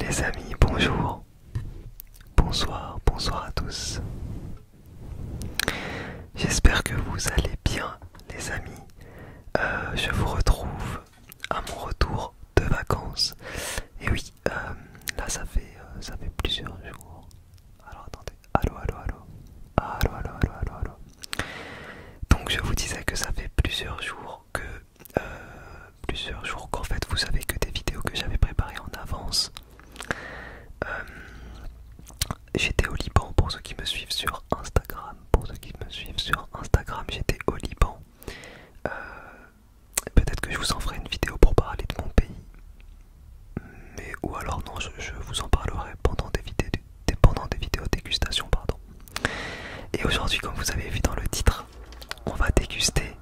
Les amis, bonjour, bonsoir, bonsoir à tous. J'espère que vous allez bien les amis. Euh, je vous retrouve à mon retour de vacances. Et oui, euh, là ça fait, euh, ça fait plusieurs jours. Alors attendez, allô, allô, allô, allô, allô, allô, allô, allô. Donc je vous disais que ça fait plusieurs jours que euh, plusieurs jours qu'en fait vous savez que des vidéos que j'avais préparées en avance euh, j'étais au Liban pour ceux qui me suivent sur Instagram pour ceux qui me suivent sur Instagram j'étais au Liban euh, peut-être que je vous en ferai une vidéo pour parler de mon pays mais ou alors non je, je vous en parlerai pendant des vidéos pendant des vidéos dégustation pardon et aujourd'hui, comme vous avez vu dans le titre, on va déguster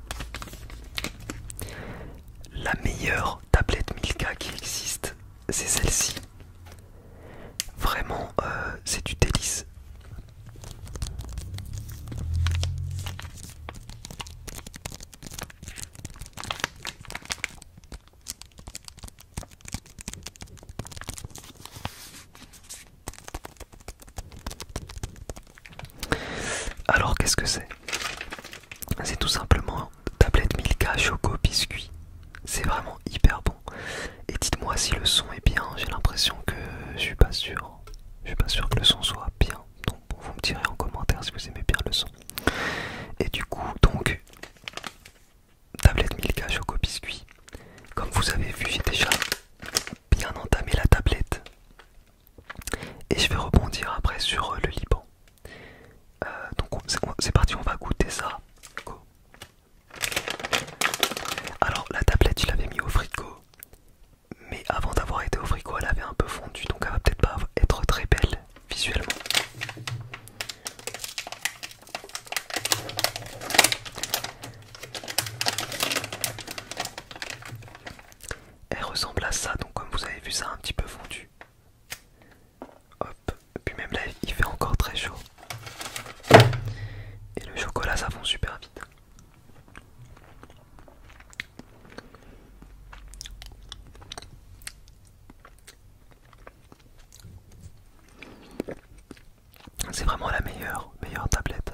la meilleure tablette Milka qui existe. C'est celle-ci. Vraiment, euh, c'est du délice. Alors qu'est-ce que c'est C'est tout simplement une tablette Milka Choco Biscuit. C'est vraiment hyper bon. Et dites-moi si le son est bien. J'ai l'impression que je suis pas sûr. Je suis pas sûr que le son soit bien. Donc vous me direz en commentaire si vous aimez bien le son. Et du coup, donc tablette Milka Choco Biscuit. Comme vous avez vu, j'ai déjà bien entamé la tablette. Et je vais rebondir après sur euh, le Liban. Euh, donc c'est parti, on va goûter ça. Alors la tablette, je l'avais mis au frigo. Mais avant d'avoir été au frigo, elle avait un peu fondu. Donc elle va peut-être pas être très belle visuellement. Elle ressemble à ça, donc comme vous avez vu, ça a un petit peu fondu. Hop, puis même là, il fait encore très chaud. Et le chocolat, ça fond super vite. C'est vraiment la meilleure, meilleure tablette.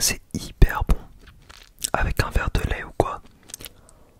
C'est hyper bon. Avec un verre de lait ou quoi,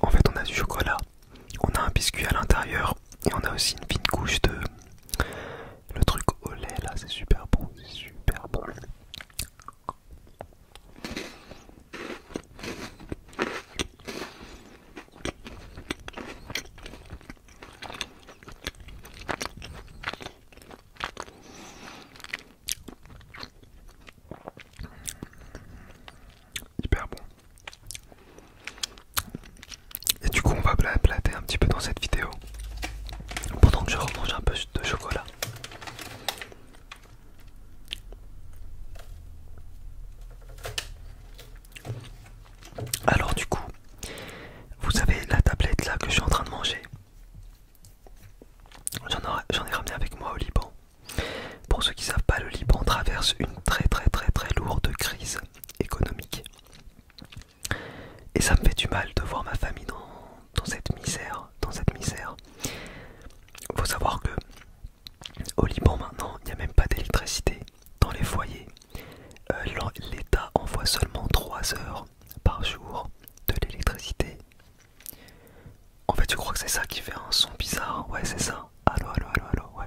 En fait, on a du chocolat, on a un biscuit à l'intérieur et on a aussi une fine couche de le truc au lait là, c'est super bon, c'est super bon. Hyper bon. Et du coup, on va blablater un petit peu dans cette vidéo pendant que je remange un peu de chocolat. Alors du coup, vous avez la tablette là que je suis en train de manger. J'en ai ramené avec moi au Liban. Pour ceux qui ne savent pas, le Liban traverse une très très très très lourde crise économique. Et ça me fait du mal de voir ma famille dans, cette misère, dans cette misère. Faut savoir que au Liban maintenant, il n'y a même pas d'électricité dans les foyers. Euh, L'État envoie seulement 3 heures par jour de l'électricité. En fait, tu crois que c'est ça qui fait un son bizarre Ouais, c'est ça. Allo allo allo allo ouais.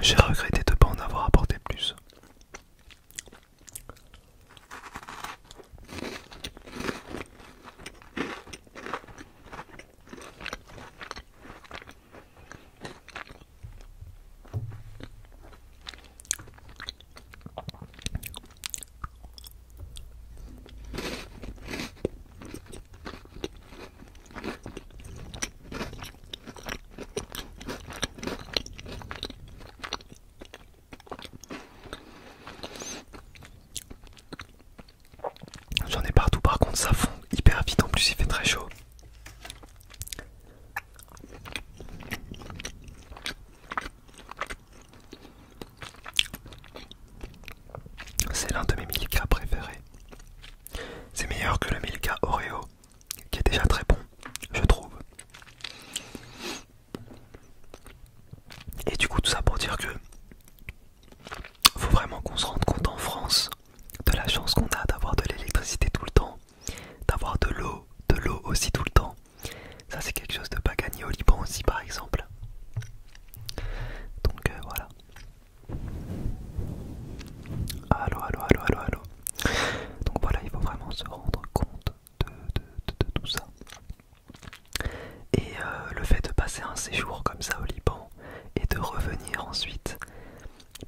J'ai regretté de ne pas en avoir apporté plus. J'en ai partout par contre ça fond hyper vite en plus il fait très chaud. C'est l'un de mes Milka préférés. C'est meilleur que le Milka Oreo, qui est déjà très bon, je trouve. Et du coup, tout ça pour dire que faut vraiment qu'on se rende compte en France de la chance qu'on a d'avoir de l'électricité tout le temps, d'avoir de l'eau, de l'eau aussi tout le temps. Ça, c'est quelque chose de pas gagné au Liban aussi, par exemple. Donc euh, voilà. Allo allô, allô, Donc voilà, il faut vraiment se rendre compte de, tout ça. Et euh, le fait de passer un séjour comme ça au Liban et de revenir ensuite,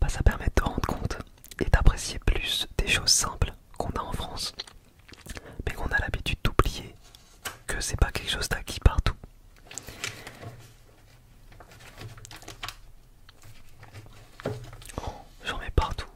bah, ça permet de te rendre compte et d'apprécier plus des choses simples qu'on a en France mais qu'on a l'habitude d'oublier que c'est pas quelque chose d'acquis partout. Oh, j'en mets partout.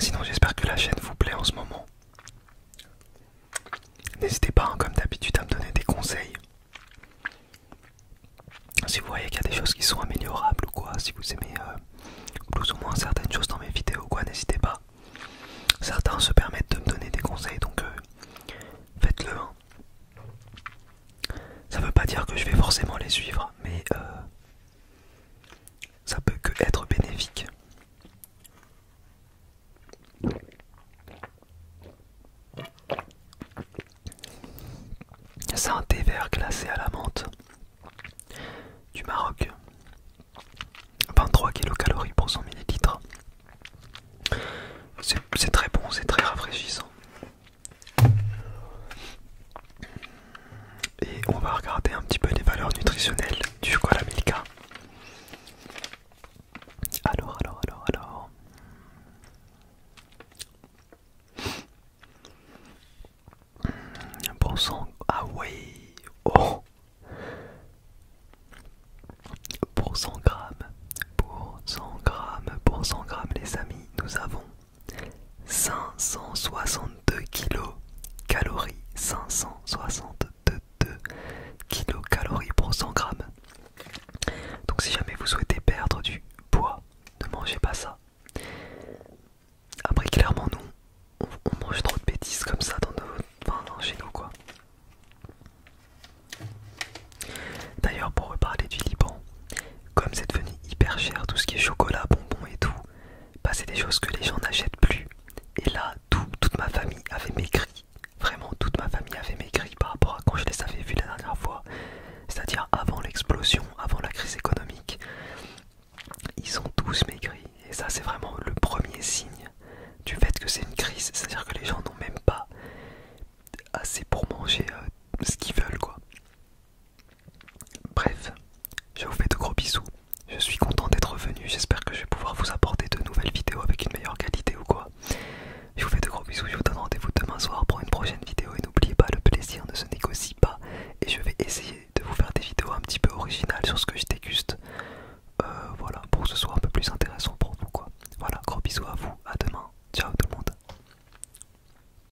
Sinon j'espère que la chaîne vous plaît en ce moment. N'hésitez pas, hein, comme d'habitude, à me donner des conseils. Si vous voyez qu'il y a des choses qui sont améliorables ou quoi, si vous aimez euh, plus ou moins certaines choses dans mes vidéos ou quoi, n'hésitez pas. Certains se permettent de me donner des conseils, donc euh, faites-le. Hein. Ça veut pas dire que je vais forcément les suivre, mais euh, ça peut que être bénéfique. C'est un thé vert glacé à la menthe du Maroc. 23 kcal pour 100 ml. C'est très bon, c'est très rafraîchissant et on va regarder un petit peu les valeurs nutritionnelles du chocolat Milka. Alors, alors, alors, alors. Bon sang, ah oui, Pour 100 grammes, pour 100 grammes, pour 100 grammes, les amis, nous avons 562 calories 562 calories pour 100 grammes. Donc si jamais vous souhaitez perdre du poids, ne mangez pas ça. Après clairement nous, on, mange trop de bêtises comme ça dans nos, chez nous quoi. D'ailleurs pour reparler du Liban, comme c'est devenu hyper cher tout ce qui est chocolat, bonbons et tout, bah, c'est des choses que les gens n'achètent plus. Et là, toute ma famille avait maigri. Vraiment, toute ma famille avait maigri par rapport à quand je les avais vus la dernière fois. C'est-à-dire avant l'explosion, avant la crise économique. Ils ont tous maigri. Et ça, c'est vraiment le premier signe du fait que c'est une crise. C'est-à-dire que les gens n'ont même pas assez pour manger euh, ce qu'ils veulent, Bref, je vous fais de gros bisous. Je suis content d'être venu. J'espère que je vais pouvoir vous apporter de nouvelles vidéos avec une meilleure qualité ou quoi. Je vous fais de gros bisous. Je vous donne rendez-vous demain soir pour une prochaine vidéo. Et n'oubliez pas, le plaisir ne se négocie pas. Et je vais essayer de vous faire des vidéos un petit peu originales sur ce que je déguste. Euh, voilà, pour que ce soit un peu plus intéressant pour vous Voilà, gros bisous à vous. À demain. Ciao tout le monde.